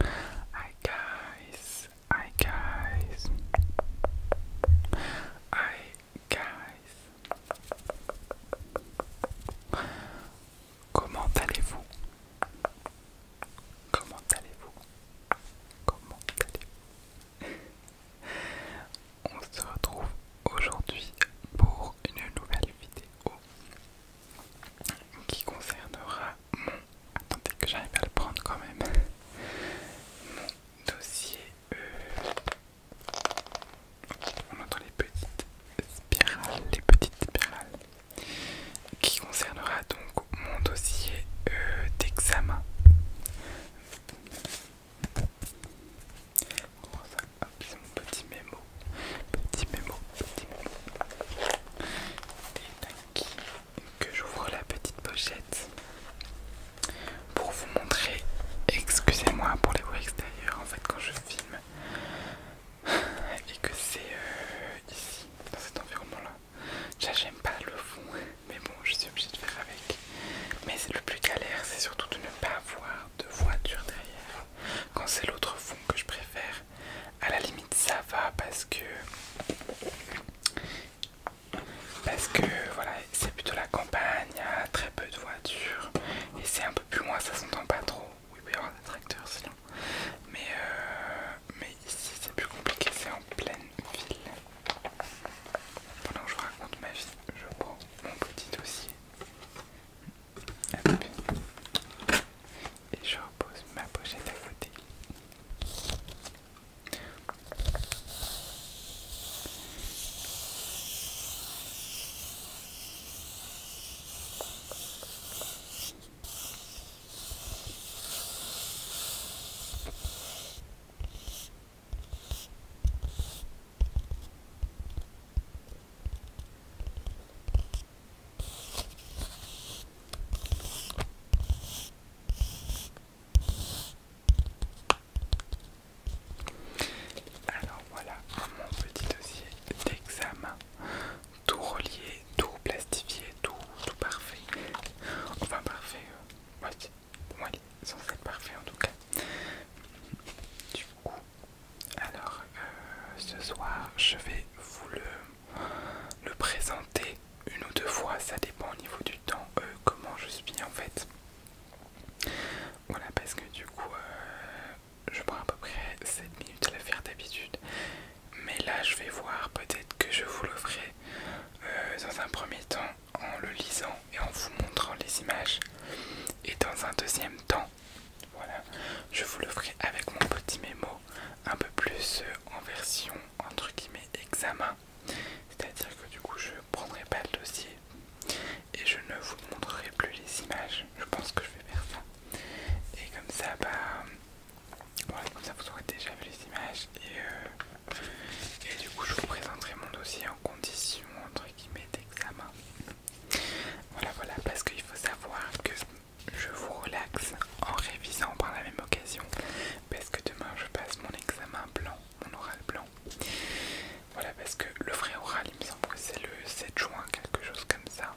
Hi guys, hi guys, hi guys. Comment allez-vous? Comment allez-vous? Comment allez-vous? On se retrouve aujourd'hui pour une nouvelle vidéo qui concernera mon... Attendez que j'arrive à le prendre quand même. Mon dossier... e. On entend les petites spirales, les petites spirales. Qui concernera donc mon dossier euh, d'examen c'est mon petit mémo. Petit mémo, petit mémo. Et que j'ouvre la petite pochette pour vous montrer. Excusez-moi pour les voix extérieures en fait quand je filme et que c'est euh, ici, dans cet environnement-là. J'aime pas le fond, mais bon, je suis obligé de faire avec. Mais c'est le plus galère, c'est surtout de ne pas avoir de voiture derrière. Quand c'est l'autre fond que je préfère, à la limite ça va parce que parce que voilà c'est plutôt la campagne, y a très peu de voitures et c'est un peu plus loin, ça s'entend pas trop. Oui, il peut y avoir des tracteurs sinon. Mais, euh, mais ici c'est plus compliqué, c'est en pleine ville. Pendant que je vous raconte ma vie, je prends mon petit dossier. Et je repose ma pochette à côté. Alors voilà mon petit dossier d'examen, tout relié, tout plastifié, tout, tout parfait. Enfin parfait, euh, ouais, moi parfait en tout cas. Du coup, alors, euh, ce soir, je vais vous le, présenter une ou deux fois, ça dépend au niveau du temps, euh, comment je suis en fait. Voilà, parce que du coup, euh, je prends à peu près 7 minutes à la faire d'habitude. Mais là, je vais voir, peut-être que je vous le ferai dans un premier temps en le lisant et en vous montrant les images. Et dans un deuxième temps, voilà, je vous le ferai avec mon petit mémo un peu plus euh, en version entre guillemets examen. C'est-à-dire que du coup je prendrai pas le dossier et je ne vous montrerai plus les images. Je pense que je vais faire ça. Et comme ça, bah voilà, ça vous aurez déjà vu les images et, euh, et du coup je vous présenterai mon dossier en condition entre guillemets d'examen. Voilà, voilà, parce qu'il faut savoir que je vous relaxe en révisant par la même occasion, parce que demain je passe mon examen blanc, mon oral blanc. Voilà, parce que le vrai oral, il me semble que c'est le 7 juin, quelque chose comme ça.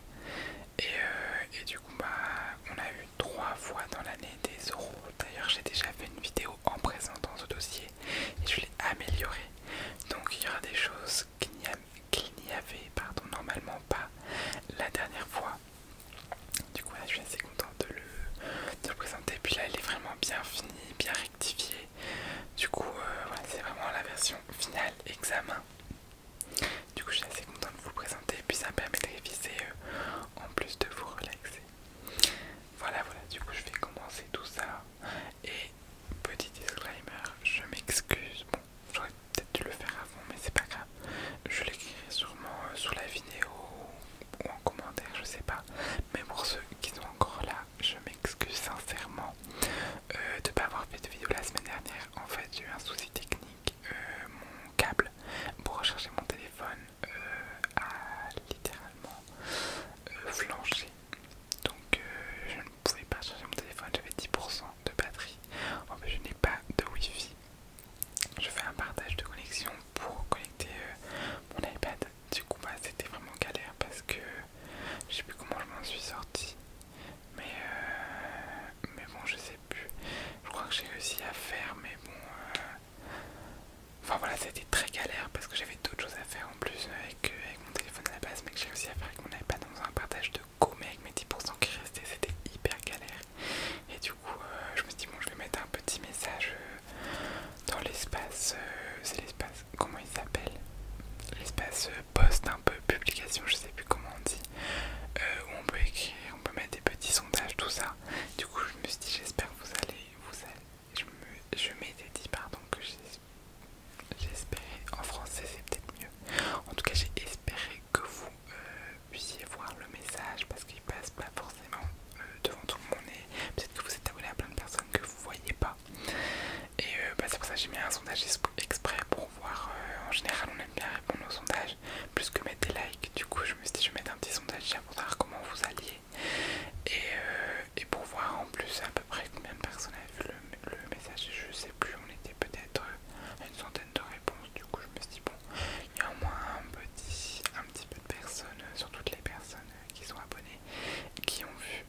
Euh, et, du coup, bah, on a eu trois fois dans l'année des oraux. D'ailleurs, j'ai déjà fait une vidéo en présentant ce dossier et je l'ai amélioré. Donc il y aura des choses qu'il n'y avait pardon, normalement pas la dernière fois. Du coup je suis assez content de le, présenter. Puis là il est vraiment bien fini, bien rectifié. Du coup euh, c'est vraiment la version finale examen. Du coup je suis assez content de vous présenter. Puis ça me permet de réviser euh, en plus de vous relaxer. Voilà, voilà, du coup je vais commencer tout ça. Et petit disclaimer, je m'excuse. Bon, j'aurais peut-être dû le faire avant, mais c'est pas grave. Je l'écrirai sûrement euh, sur la vidéo ou en commentaire, je sais pas. Mais pour ceux qui sont encore là, je m'excuse sincèrement De euh, de pas avoir fait de vidéo la semaine dernière. En fait, j'ai eu un souci technique. Euh, mon câble pour recharger mon téléphone a littéralement flanché donc euh, je ne pouvais pas changer mon téléphone, j'avais 10% de batterie. En fait, je n'ai pas de wifi. Je fais un partage de connexion pour connecter euh, mon iPad. Du coup, bah, c'était vraiment galère parce que je sais plus comment je m'en suis sorti. Mais, euh, mais bon, je sais plus. Je crois que j'ai réussi à faire, mais bon, Enfin voilà, c'était très galère parce que j'avais d'autres choses à faire en plus euh, euh, avec, mon téléphone à la base, mais que j'ai aussi à faire avec mon iPad dans un partage de Go mais avec mes 10% qui restaient, c'était hyper galère. Et du coup, euh, je me suis dit, bon, je vais mettre un petit message dans l'espace, c'est l'espace, comment il s'appelle L'espace poste post, un peu publication, je sais plus comment on dit, où on peut écrire, on peut mettre des petits sondages, tout ça. Du coup, je me suis dit, j'espère que vous allez, vous allez je m'étais dit, pardon, que j'espérais. En français, c'est peut-être mieux. En tout cas, j'ai espéré que vous euh, puissiez voir le message parce qu'il passe pas forcément euh, devant tout le monde. Et peut-être que vous êtes abonné à plein de personnes que vous voyez pas. Et euh, bah, c'est pour ça que j'ai mis un sondage exprès pour voir. en général, on aime bien répondre aux sondages plus que mettre des likes. Du coup, je me suis dit, je vais mettre un petit sondage à pour savoir comment vous alliez. Euh, et, pour voir en plus à peu près combien de personnes avaient vu le, message. Je sais plus, on était peut-être à euh, une centaine de réponses. Du coup, je me suis dit, bon, il y a au moins un petit, un petit peu de personnes, euh, sur toutes les personnes qui sont abonnées, qui ont vu.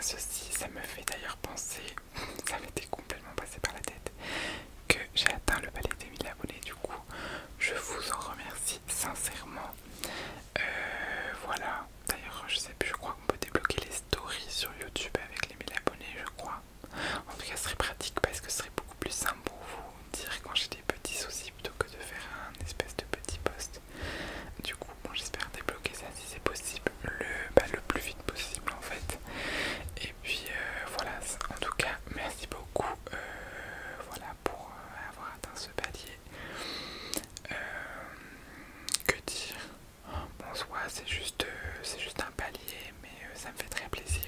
Ceci, ça me fait d'ailleurs penser, ça m'était complètement passé par la tête, que j'ai atteint le palais des 1000 abonnés. Du coup, je vous en remercie sincèrement. Euh, voilà, d'ailleurs je sais plus, je crois qu'on peut débloquer les stories sur YouTube avec les 1000 abonnés, je crois. En tout cas ce serait pratique parce que ce serait beaucoup plus simple pour vous dire quand j'ai des petits soucis plutôt que de faire un espèce de petit post. Du coup bon j'espère débloquer ça si c'est possible le, bah, le plus vite possible en fait. Et puis euh, voilà, en tout cas merci beaucoup euh, voilà pour avoir atteint ce palier. Euh, que dire Bonsoir, c'est juste, euh, c'est juste un palier, mais euh, ça me fait très plaisir.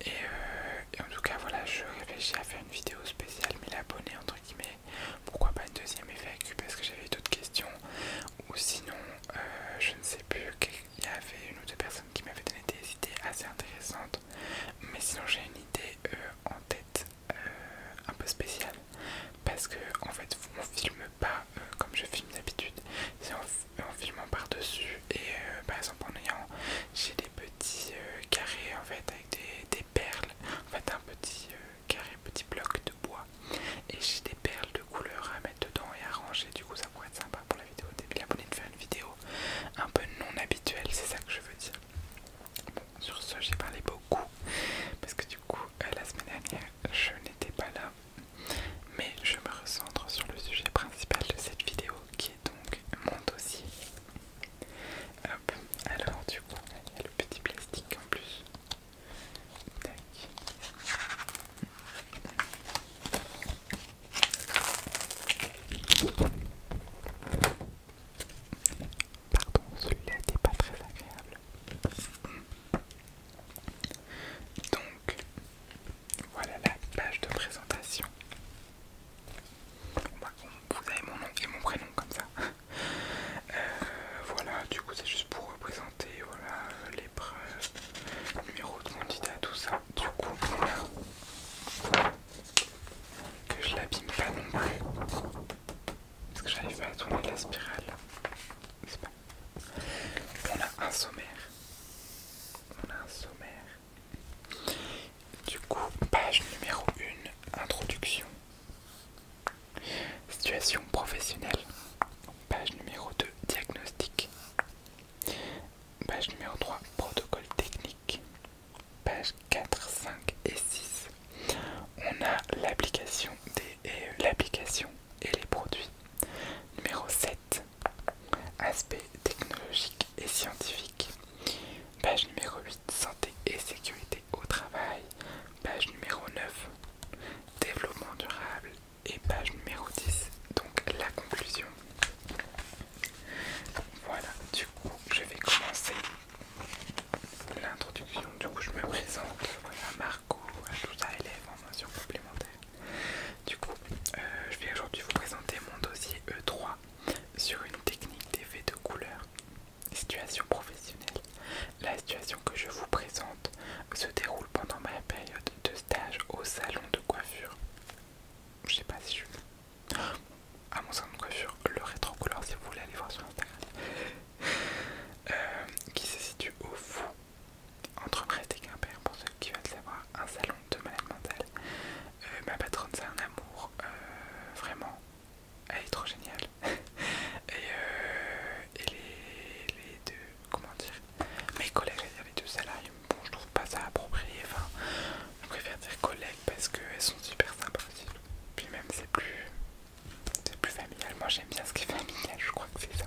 Et, en tout cas, voilà, je réfléchis à faire une vidéo spéciale, mais abonnés entre guillemets, pourquoi pas une deuxième FAQ parce que j'avais d'autres questions. Ou sinon, je ne sais plus, qu'il y avait une ou deux personnes qui m'avaient donné des idées assez intéressantes. Mais sinon, j'ai une idée euh, en tête euh, un peu spécial parce que en fait on filme pas euh, comme je filme d'habitude, c'est en, filmant par-dessus et par exemple en ayant j'ai des petits carrés en fait avec des, perles, en fait un petit carré, petit bloc de bois et j'ai des perles de couleurs à mettre dedans et à ranger du coup ça pourrait être sympa pour la vidéo bien abonné de faire une vidéo un peu non habituelle c'est ça que je veux dire sur ce, j'ai parlé beaucoup parce que du coup, euh, la semaine dernière, je n'étais pas là, mais je me recentre sur le sujet principal de cette vidéo qui est donc mon dossier. Hop, alors du coup, il y a le petit plastique en plus. Tac. Pardon, celui-là n'était pas très agréable. Donc, voilà la page de présentation. vous avez mon nom et mon prénom comme ça. Euh, voilà, du coup c'est juste pour représenter voilà, l'épreuve, numéro de candidat, tout ça. Du coup, que je l'abîme pas non plus parce que j'arrive pas à tourner la spirale on a un sommaire on a un sommaire du coup page numéro 1 introduction situation professionnelle page numéro 2 diagnostic page numéro 3 protocole technique Page pages 4, 5 et 6, on a l'application et, euh, et les produits. Numéro 7, aspect technologique et scientifique. Page numéro 8, santé et sécurité au travail. Page numéro 9, développement durable. Et page numéro 10, donc la conclusion. Voilà, du coup, je vais commencer l'introduction. Du coup, je me présente. Voilà, Marco, tout ça élève en mention complémentaire. Du coup, euh, je vais aujourd'hui vous présenter mon dossier E3 sur une technique d'effet de couleur. Situation professionnelle. La situation que je vous présente se déroule pendant ma période de stage au salon de coiffure je sais pas si je à ah, mon salon de coiffure le rétro couleur si vous voulez aller voir sur Instagram euh, qui se situe au fond, entre Brest et Quimper pour ceux qui veulent savoir un salon de malade mentale euh, ma patronne c'est un amour euh, vraiment elle est trop géniale et, les, les deux comment dire mes collègues, les deux salariés bon, je trouve pas ça approprié. Enfin, je préfère dire collègues parce qu'elles sont super sympathiques. Puis même, c'est plus, c'est plus familial. Moi, j'aime bien ce qui est familial. Je crois que c'est ça.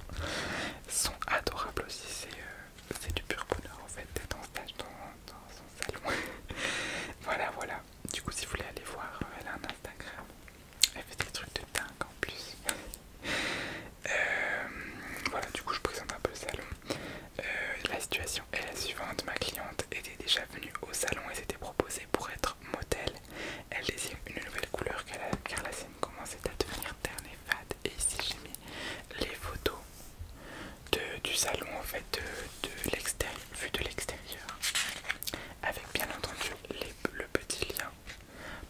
Elles sont adorables aussi. C'est, euh, c'est du pur bonheur en fait d'être en stage dans, dans son salon. voilà, voilà. Du coup, si vous voulez aller voir, euh, elle a un Instagram. Elle fait des trucs de dingue en plus. Euh, voilà, du coup, je présente un peu le salon. Euh, la situation est la suivante ma cliente était déjà venue au salon et s'était proposée pour être modèle. Elle désigne une nouvelle couleur car la scène commençait à devenir terne et fade. Et ici, j'ai mis les photos du salon en fait, de, de l'extérieur, vue de l'extérieur, avec bien entendu le petit lien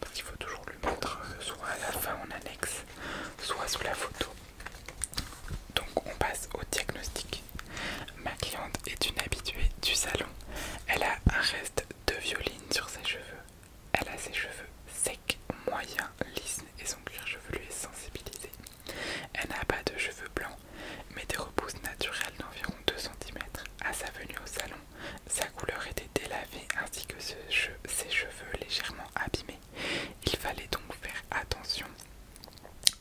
parce qu'il faut toujours le mettre soit à la fin en annexe soit sous la photo. Donc on passe au diagnostic. Ma cliente est une habituée du salon. Elle a un reste de violine sur ses cheveux. Elle a ses cheveux secs, moyens, lisses et son cuir chevelu est sensibilisé. Elle n'a pas de cheveux blancs, mais des repousses naturelles d'environ 2 cm. À sa venue au salon, sa couleur était délavée ainsi que ses cheveux légèrement abîmés il fallait donc faire attention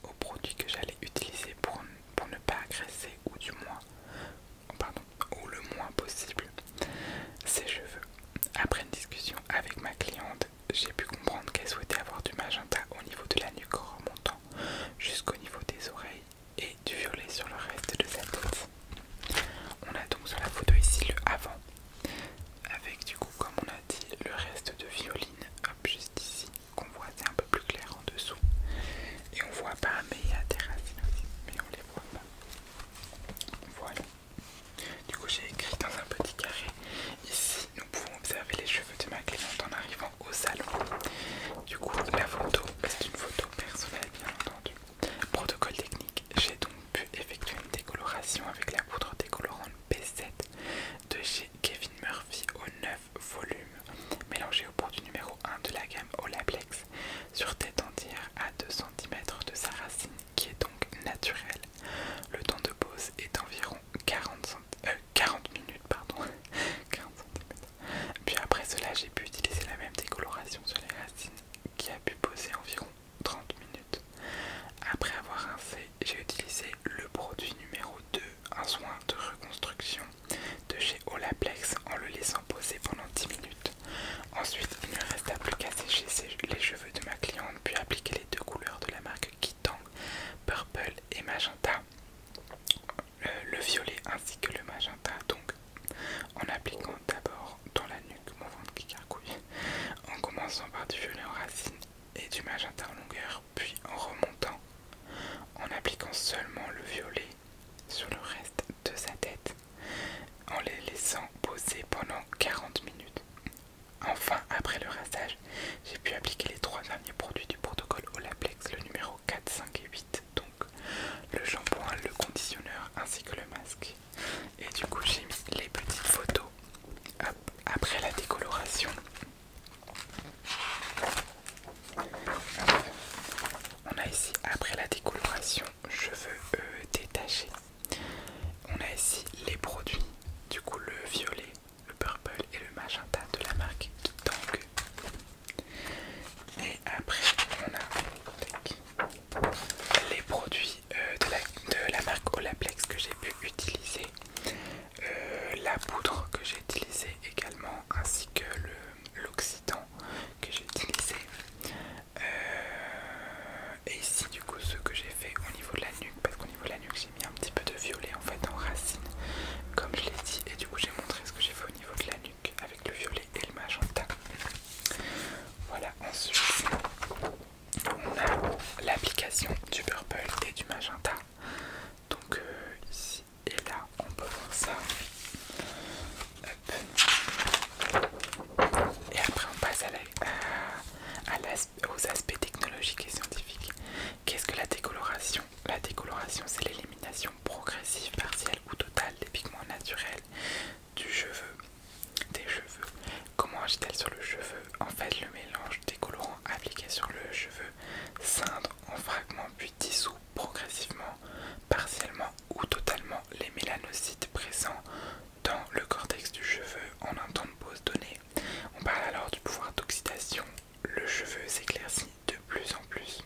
aux produits que j'allais utiliser pour, pour ne pas agresser ou du moins, pardon, ou le moins possible ses cheveux. Après une discussion avec ma cliente, j'ai pu comprendre qu'elle souhaitait avoir du magenta au niveau de la nuque en remontant jusqu'au niveau des oreilles et du violet sur le reste de sa tête. On a donc sur la photo ici le avant, avec du coup comme on a dit le reste de violine, hop juste ici, qu'on voit c'est un peu plus clair en dessous. Et on voit pas, mais il y a des racines aussi, mais on les voit pas. Voilà. Du coup j'ai écrit dans un petit carré, ici nous pouvons observer les cheveux de ma cliente en arrivant au salon. Du coup la photo, c'est une photo personnelle bien entendu. Protocole technique, j'ai donc pu effectuer une décoloration avec la poudre décolorante B7 de chez Kevin Murphy au 9 volumes, mélangée au produit du numéro 1 de la gamme Olaplex, sur tête entière à 2 cm de sa racine qui est donc naturelle. Le temps de pose est d'environ 40, 40 euh, minutes. Pardon. 40 Puis après cela, j'ai pu utiliser la même décoloration sur les racines qui a pu poser environ 30 minutes. Après avoir rincé, j'ai utilisé le produit numéro 2, un soin de reconstruction de chez Olaplex en le laissant poser pendant 10 minutes. Ensuite, il ne resta plus qu'à sécher les cheveux de ma cliente puis appliquer les deux couleurs de la marque Kitang, Purple et Magenta, euh, le, violet ainsi que le magenta donc en appliquant d'abord dans la nuque mon ventre qui carcouille, en commençant par du violet en racine et du magenta en longueur, puis en remontant, en appliquant seulement le violet sur le reste de sa tête, en les laissant poser pendant 40 minutes. Enfin, après le rassage, j'ai pu appliquer les trois derniers produits du protocole Olaplex, le numéro 4, 5 et 8, le shampoing, le conditionneur ainsi que le masque. Et du coup j'ai mis les petites photos après la décoloration. On a ici après la décoloration cheveux veux détachés. On a ici les produits, du coup le violet, le purple et le magenta de la marque Tang. Et après on a les produits euh, de, la, de la marque Olaplex que j'ai pu utiliser, euh, la poudre que j'ai utilisée également, ainsi que l'oxydant que j'ai utilisé. Euh, et ici du coup ce que j'ai fait au niveau de la nuque, parce qu'au niveau de la nuque j'ai mis un petit peu de violet en fait en racine, comme je l'ai dit, et du coup j'ai montré ce que j'ai fait au niveau de la nuque avec le violet et le magenta. Voilà, ensuite on a l'application du purple et du magenta. Donc euh, ici et là, on peut voir ça. Et après on passe à aux aspects technologiques et scientifiques. Qu'est-ce que la décoloration La décoloration c'est l'élimination progressive, partielle ou totale des pigments naturels du cheveu, des cheveux. Comment agit-elle sur le cheveu En fait, le mélange des colorants appliqués sur le cheveu cindre en fragments puis dissout progressivement, partiellement ou totalement les mélanocytes présents dans le cortex du cheveu en un temps de pause donné. On parle alors du pouvoir d'oxydation. Le cheveu s'éclaircit de plus en plus.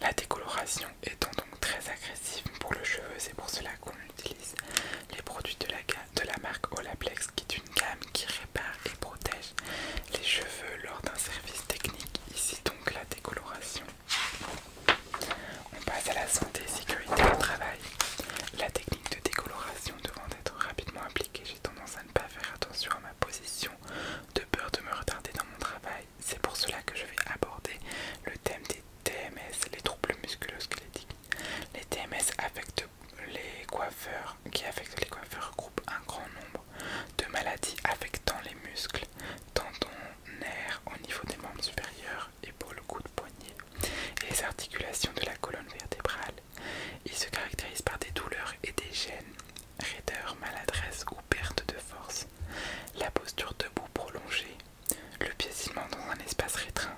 La décoloration étant donc très agressive pour le cheveu, c'est pour cela qu'on utilise les produits de la, marque Olaplex qui est une gamme qui répare et protège les cheveux lors d'un service technique. Ici donc la décoloration. On passe à la santé et sécurité au travail. La technique de décoloration devant être rapidement appliquée, j'ai tendance à ne pas faire attention à ma position de peur de me retarder dans mon travail. C'est pour cela que je vais aborder le thème des TMS, les troubles musculosquelettiques. Les TMS affectent les coiffeurs, qui affectent les coiffeurs regroupent un grand nombre de maladies affectant les muscles, tendons, nerfs au niveau des membres supérieurs, épaules, coudes, poignet et les articulations de la colonne vertébrale. Ils se caractérisent par des douleurs et des gênes, raideur, maladresse perte de force, la posture debout prolongée, le pied dans un espace rétreint,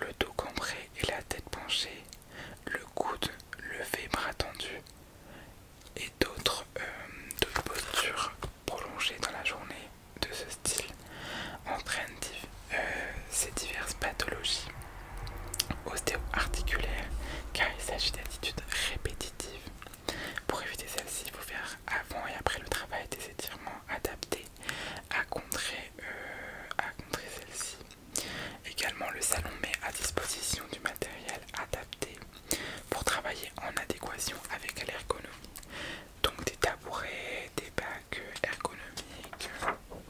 le dos cambré et la tête penchée, le coude levé, bras tendu, et euh, d'autres postures prolongées dans la journée de ce style entraînent euh, ces diverses pathologies ostéo-articulaires car il s'agit d'attitudes répétitives pour éviter celle-ci, il faut faire avant et après le travail des étirements adaptés à contrer, euh, à celle-ci. Également, le salon met à disposition du matériel adapté pour travailler en adéquation avec l'ergonomie. Donc des tabourets, des bacs ergonomiques,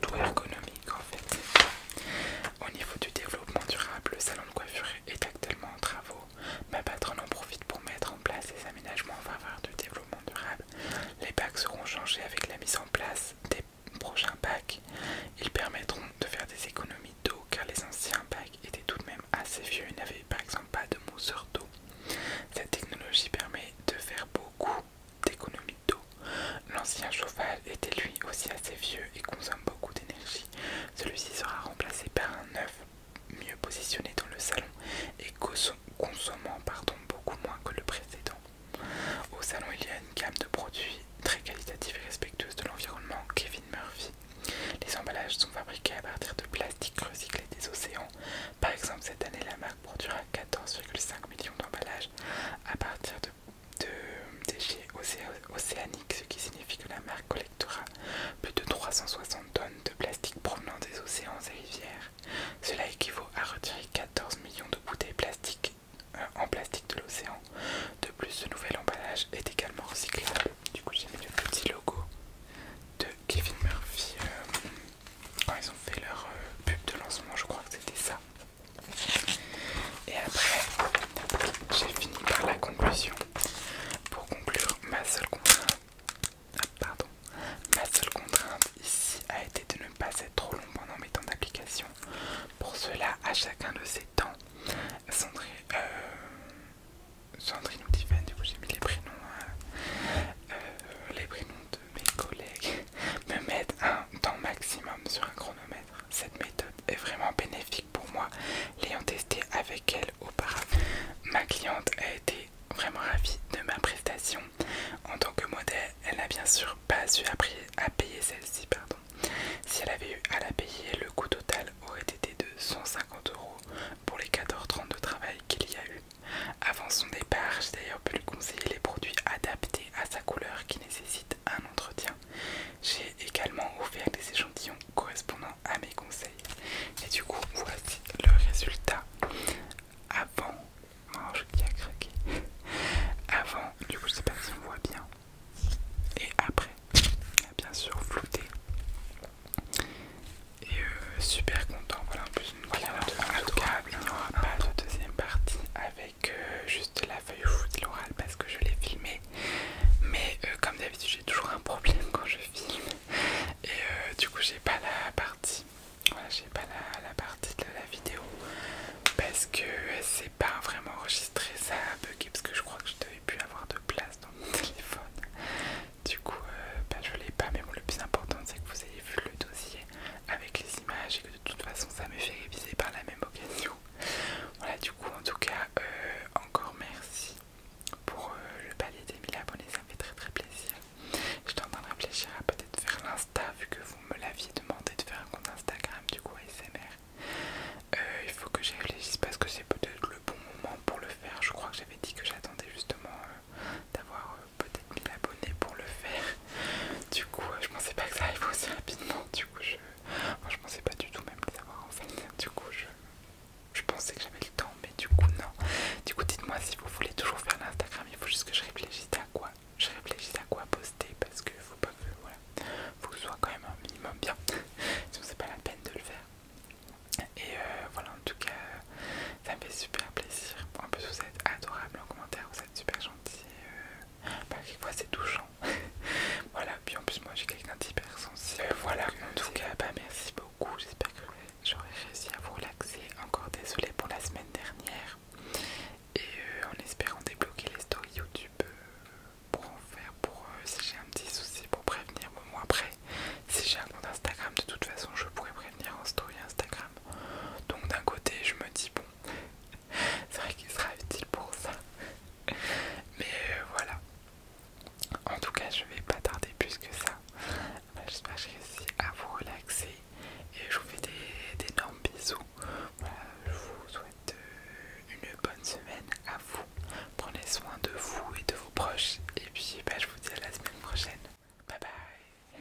tout ergonomique en fait. Au niveau du développement durable, le salon de coiffure est actuellement en travaux. Ma patronne en profite pour mettre en place des aménagements en faveur du développement durable. Les bacs seront changés avec la mise en place des prochains packs. Ils permettront de faire des économies d'eau car les anciens packs étaient tout de même assez vieux et n'avaient par exemple pas de mousseur d'eau. Cette technologie permet de faire beaucoup d'économies d'eau. L'ancien chauffage était lui aussi assez vieux et consomme beaucoup d'énergie. Celui-ci sera remplacé par un œuf mieux positionné dans le salon et consommant pardon, beaucoup moins que le précédent. Au salon, il y a une gamme de produits très qualitatifs et respectueux de l'environnement Kevin Murphy. Les emballages sont fabriqués à partir de plastique recyclé des océans. Par exemple, cette année, la marque produira 14,5 millions d'emballages à partir de de, déchets océaniques, ce qui signifie que la marque collectera plus de 360 tonnes de plastique provenant des océans et rivières. Cela équivaut à retirer 14 millions de bouteilles plastiques euh, en plastique de l'océan. De plus, ce nouvel emballage est également recyclable. Du coup, j'ai mis le petit logo de Kevin Murphy euh, quand ils ont fait leur euh, pub de lancement. Je crois que c'était ça. Et après, j'ai fini par la conclusion. Pour conclure, ma seule contrainte, ah, pardon, ma seule contrainte ici a été de ne pas être trop long pendant mes temps d'application. Pour cela, à chacun de ces temps, Sandrine, euh, ou du coup j'ai mis les prénoms, hein, euh, les prénoms de mes collègues, me mettent un temps maximum sur un chronomètre. Cette méthode est vraiment bénéfique pour moi, l'ayant testée avec elle auparavant. Ma cliente a été vraiment ravie de ma prestation. En tant que modèle, elle n'a bien sûr pas eu à payer celle-ci. pardon. Si elle avait eu à la payer, le coût total aurait été de 150 euros pour les 14h30 de travail qu'il y a eu. Avant son départ, j'ai d'ailleurs pu lui conseiller les produits adaptés à sa couleur qui nécessitent un entretien. J'ai également ouvert des échantillons correspondant à mes conseils. Et du coup, voici le résultat. Avant, qui a craqué. Avant, du coup, je sais pas si on voit bien. Et après, bien sûr, flouté. Et euh, super content. Voilà, en plus, une en tout il n'y aura pas de deuxième partie avec que juste la feuille fou de l'oral parce que je l'ai filmé mais euh, comme d'habitude j'ai toujours un problème quand je filme et euh, du coup j'ai pas la partie voilà j'ai pas la, partie de la vidéo parce que c'est pas vraiment enregistré ça a bugué parce que je crois que je devais plus avoir de place dans mon téléphone du coup euh, bah, je l'ai pas mais bon le plus important c'est que vous ayez vu le dossier avec les images et que de toute façon ça me fait réviser par la même occasion voilà, du coup, en tout cas, euh, encore merci pour euh, le palier des 1000 abonnés, ça me fait très très plaisir. Je en train de réfléchir à peut-être faire l'insta, vu que vous me l'aviez demandé de faire un compte Instagram, du coup, ASMR. Euh, il faut que j'y réfléchisse parce que c'est peut-être le bon moment pour le faire. Je crois que j'avais dit que j'attendais justement d'avoir peut-être 1000 abonnés pour le faire. Du coup, je je pensais pas que ça arrive aussi rapidement du coup je... pensais pas du tout même les avoir en fait. Du coup je... pensais que j'avais le temps mais du coup non. Du coup dites-moi si vous voulez toujours faire l'Instagram, il faut juste que je réfléchisse à quoi. Je réfléchis à quoi poster parce que faut pas que voilà. Faut que soit quand même un minimum bien. Sinon c'est pas la peine de le faire. Et euh, voilà en tout cas ça me fait super plaisir. En plus vous êtes adorables en commentaire, vous êtes super gentils. Euh, bah, quelquefois c'est touchant. voilà, puis en plus, moi j'ai quelqu'un sensible euh, Voilà, euh, en tout cas, bah merci beaucoup. J'espère que j'aurai réussi à vous relaxer. Encore désolé pour la semaine dernière. Et euh, en espérant débloquer les stories YouTube pour en faire, pour si j'ai un petit souci, pour prévenir. au moi après, si j'ai un compte Instagram, de toute façon, je pourrais prévenir en story Instagram. Donc d'un côté, je me dis, bon, c'est vrai qu'il sera utile pour ça. Mais euh, voilà. En tout cas, je vais pas tarder plus que ça. Bah, j'espère que j'ai réussi à vous relaxer. Et je vous fais des, énormes bisous. Bah, je vous souhaite euh, une bonne semaine à vous. Prenez soin de vous et de vos proches. Et puis, bah, je vous dis à la semaine prochaine. Bye bye.